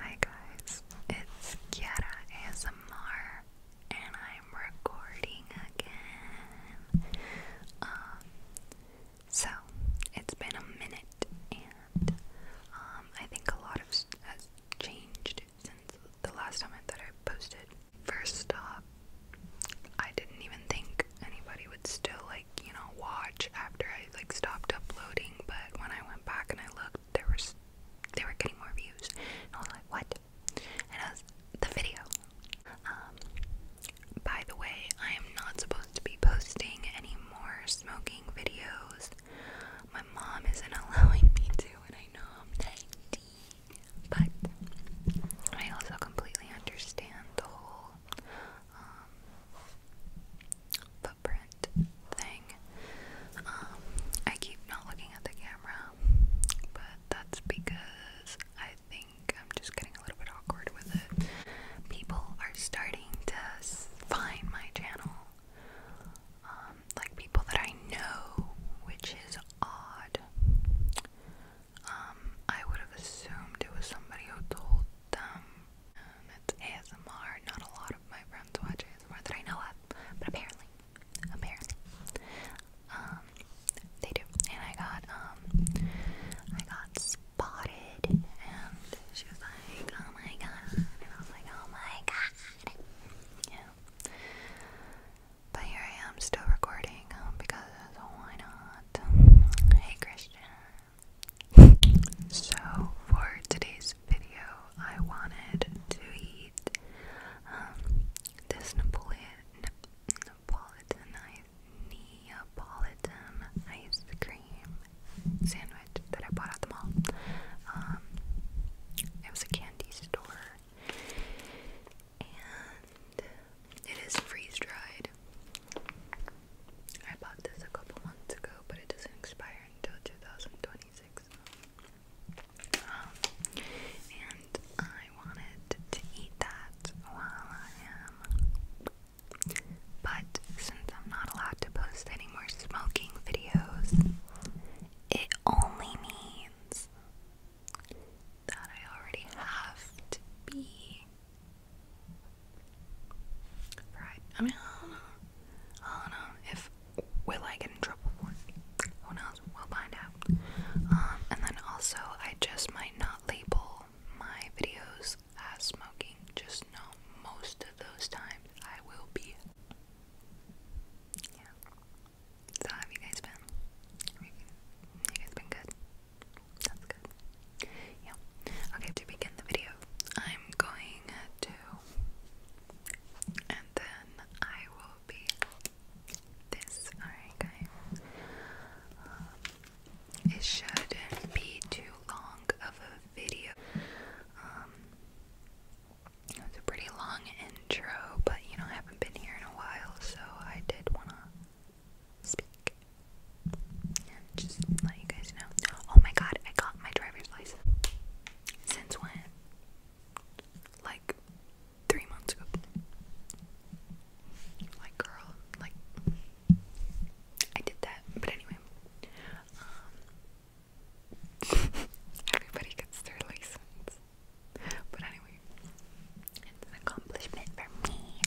Hi guys, it's Kiara ASMR and I'm recording again. Um, so it's been a minute and um, I think a lot of has changed since the last time that I posted. First off, I didn't even think anybody would still like, you know, watch after I like stopped uploading, but when I went back and I looked there was they were getting more views. And I was like, what? And I was the video. Um by the way, I am not supposed to be posting any more smoking videos. My mom isn't allowing me to, and I know I'm 19. But I also completely understand the whole um, thing. Um, I keep not looking at the camera, but that's because I think I'm just getting a little bit awkward with it. People are starting to find my channel, um, like people that I know, which is odd. Um, I would have assumed it was somebody who told them. Um, ASMR, not a lot lot of my friends watch ASMR that I know of, but apparently, apparently, um, they do. And I got, um, I got spotted, and she was like, "Oh my god," and I was like, "Oh my god," yeah. But here I am, still recording um, because why not? Um, hey, Christian so, for today's video, I wanted to eat um, this Napoleon, Napolitan, Neapolitan ice cream sandwich that I bought at the mall. Um, it was a candy store, and it is freeze dried. I bought this a couple months ago, but it doesn't expire until 2026. Um, and I wanted to eat that while I am. But since I'm not allowed to post any more smoking videos, it only means that I already have to be Right. I mean, I don't know. if will I get in trouble for Who knows? We'll find out. Um, and then also, I just might not label my videos as smoking. Just know most of those times I will be. So have you guys been? You guys been good? That's good. Yeah. Okay, to begin the video, I'm going to. And then I will be this. Alright, guys. Um, it shouldn't be too long of a video. Um, it was a pretty long intro, but you know, I haven't been here in a while, so I did want to speak just let you guys know. Oh my god, I got my driver's license. Since when? Like three months ago. Like girl, like I did that. But anyway. Um everybody gets their license. But anyway, it's an accomplishment for me.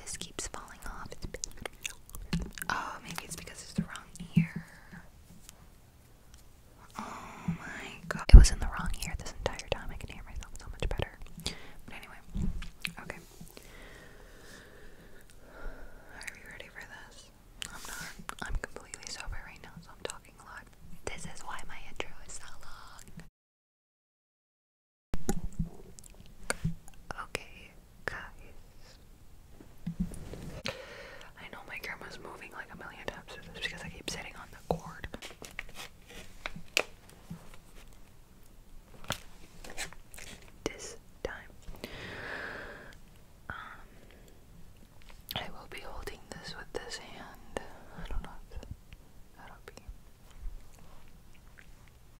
This keeps falling off. Oh, maybe it's because it's the wrong ear. Oh my god. It was in the wrong ear this entire time. I can hear myself so much better. But anyway, okay. Are you ready for this? I'm not. I'm completely sober right now, so I'm talking a lot. This is why my intro is so long. Okay, guys. I know my camera's moving like a million times because I keep sitting on the cord. This time. Um, I will be holding this with this hand. I don't know. That'll be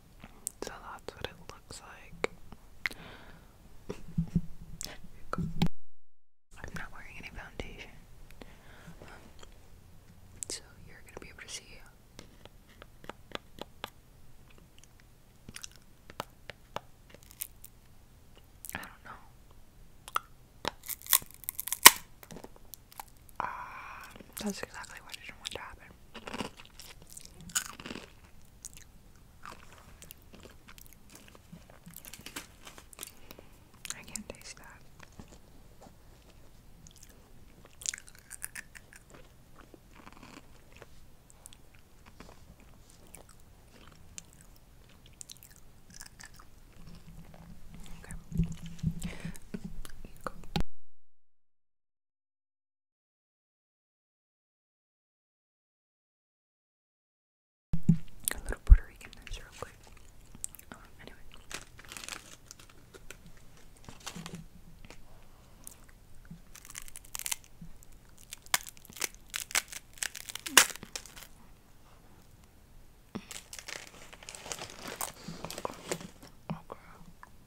So that's what it looks like. I'm not wearing any foundation. so you're gonna be able to see. I don't know. Ah, that's exactly what I didn't want to happen. I can't taste that. Okay. Got a little Puerto Rican real quick. Um, anyway. Okay.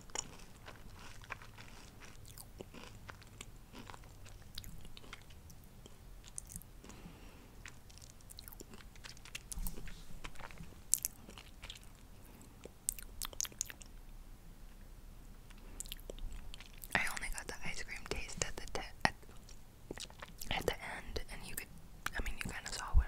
I only got the ice cream taste at the at, at the end, and you could, I mean, you kind of saw what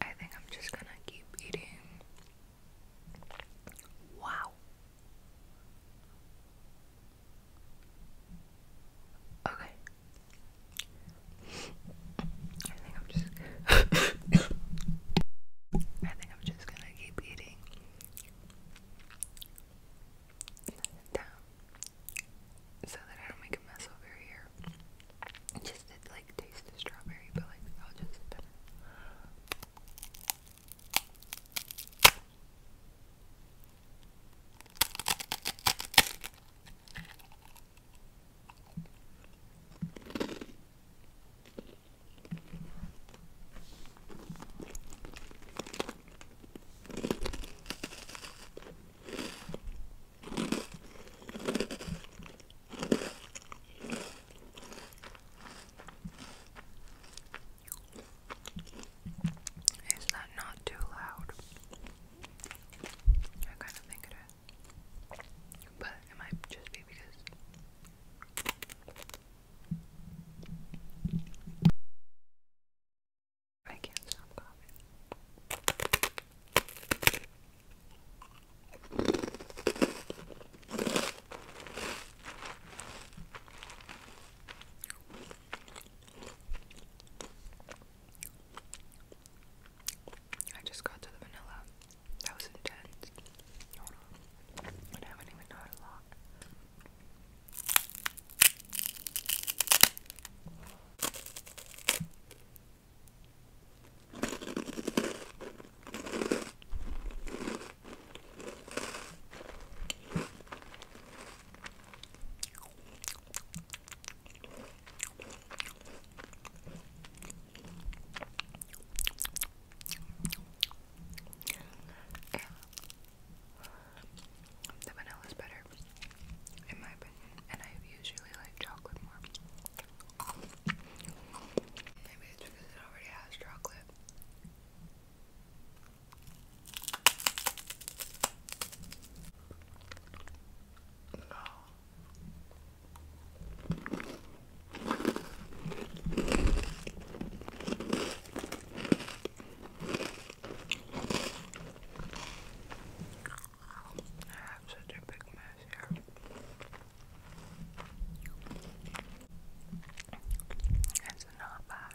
I think I'm just gonna keep eating. Wow. Okay. I think I'm just I think I'm just gonna keep eating down so that I don't make a mess over here. Just to like taste strawberry, but like I'll just is that not too loud? I kind of think it is. But it might just be because. I can't stop coughing. I just got to the vanilla. That was intense. I haven't even had yeah. The vanilla is better, in my opinion, and I usually like chocolate more. Maybe it's because it already has chocolate. I have such a big mess here. It's not bad.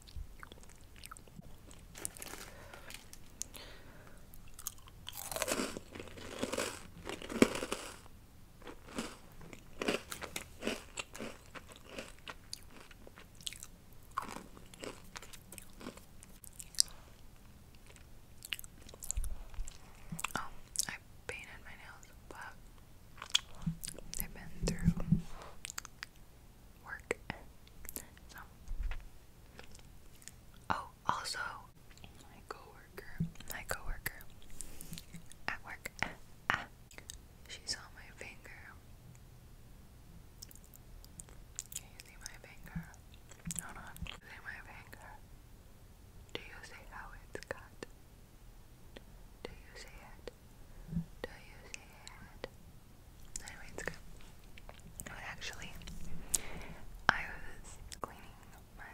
Oh, I painted my nails, but they've been through work. oh, also, my coworker, my coworker at work. Ah, she saw my finger. you see my finger? Hold on. See my finger. Do you see how it's cut? Do you see it? Do you see it? Anyway, it's good. actually, I was cleaning my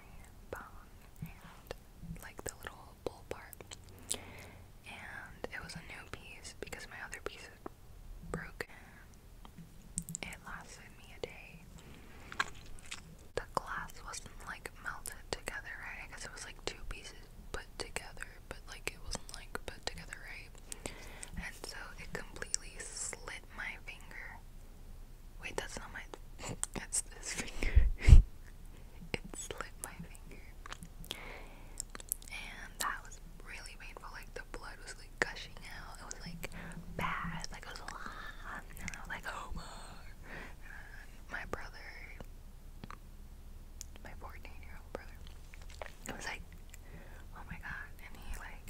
bone and like the little bowl part, and it was a new piece because my other piece had broken. It lasted me a day. The glass wasn't like melted together, I guess it was like two pieces put together but like it wasn't like put together right. And so it completely slit my finger. Wait, that's not my. That's this finger. it slit my finger. And that was really painful. Like the blood was like gushing out. It was like bad. Like it was a lot. And I was like, oh my. my brother, my 14 year old brother, was like, oh my god, and he like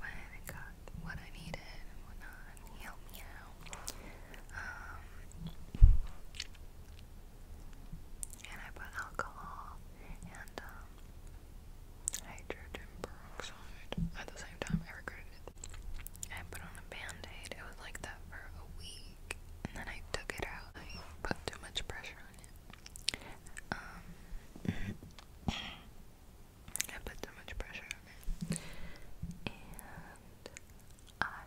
when I got what I needed and whatnot, he helped me out. Um, and I put alcohol and um, hydrogen peroxide at the same time. I regretted it. I put on a band It was like that for a week, and then I took it out. I put too much pressure on it. Um, I put so much pressure And I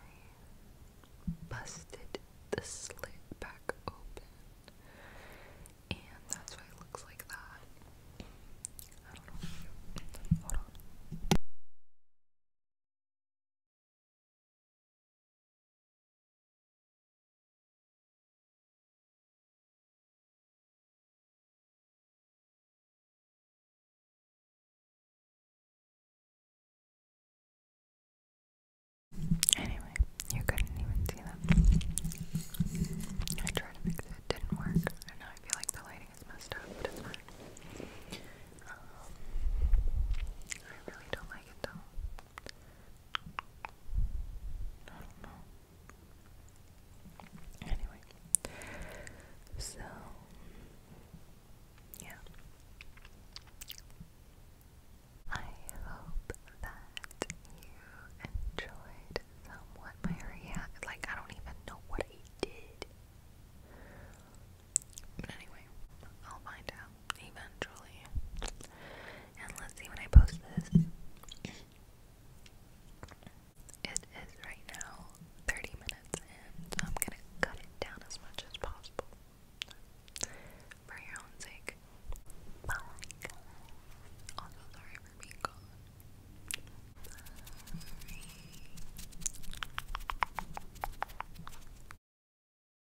busted the slit back open. And that's why it looks like that. I don't know. Hold on. Anyway, you couldn't even see them. I tried to fix it, didn't work. And now I feel like the lighting is messed up, um, I really don't like it though. I don't know. Anyway, so yeah. I hope that you enjoyed somewhat my react. Like, I don't even know what I did. But anyway, I'll find out eventually. And let's see when I post this. It is right now 30 minutes in, so I'm gonna cut it down as much as possible. For your own sake. Bye. Also, sorry for being gone. Sorry.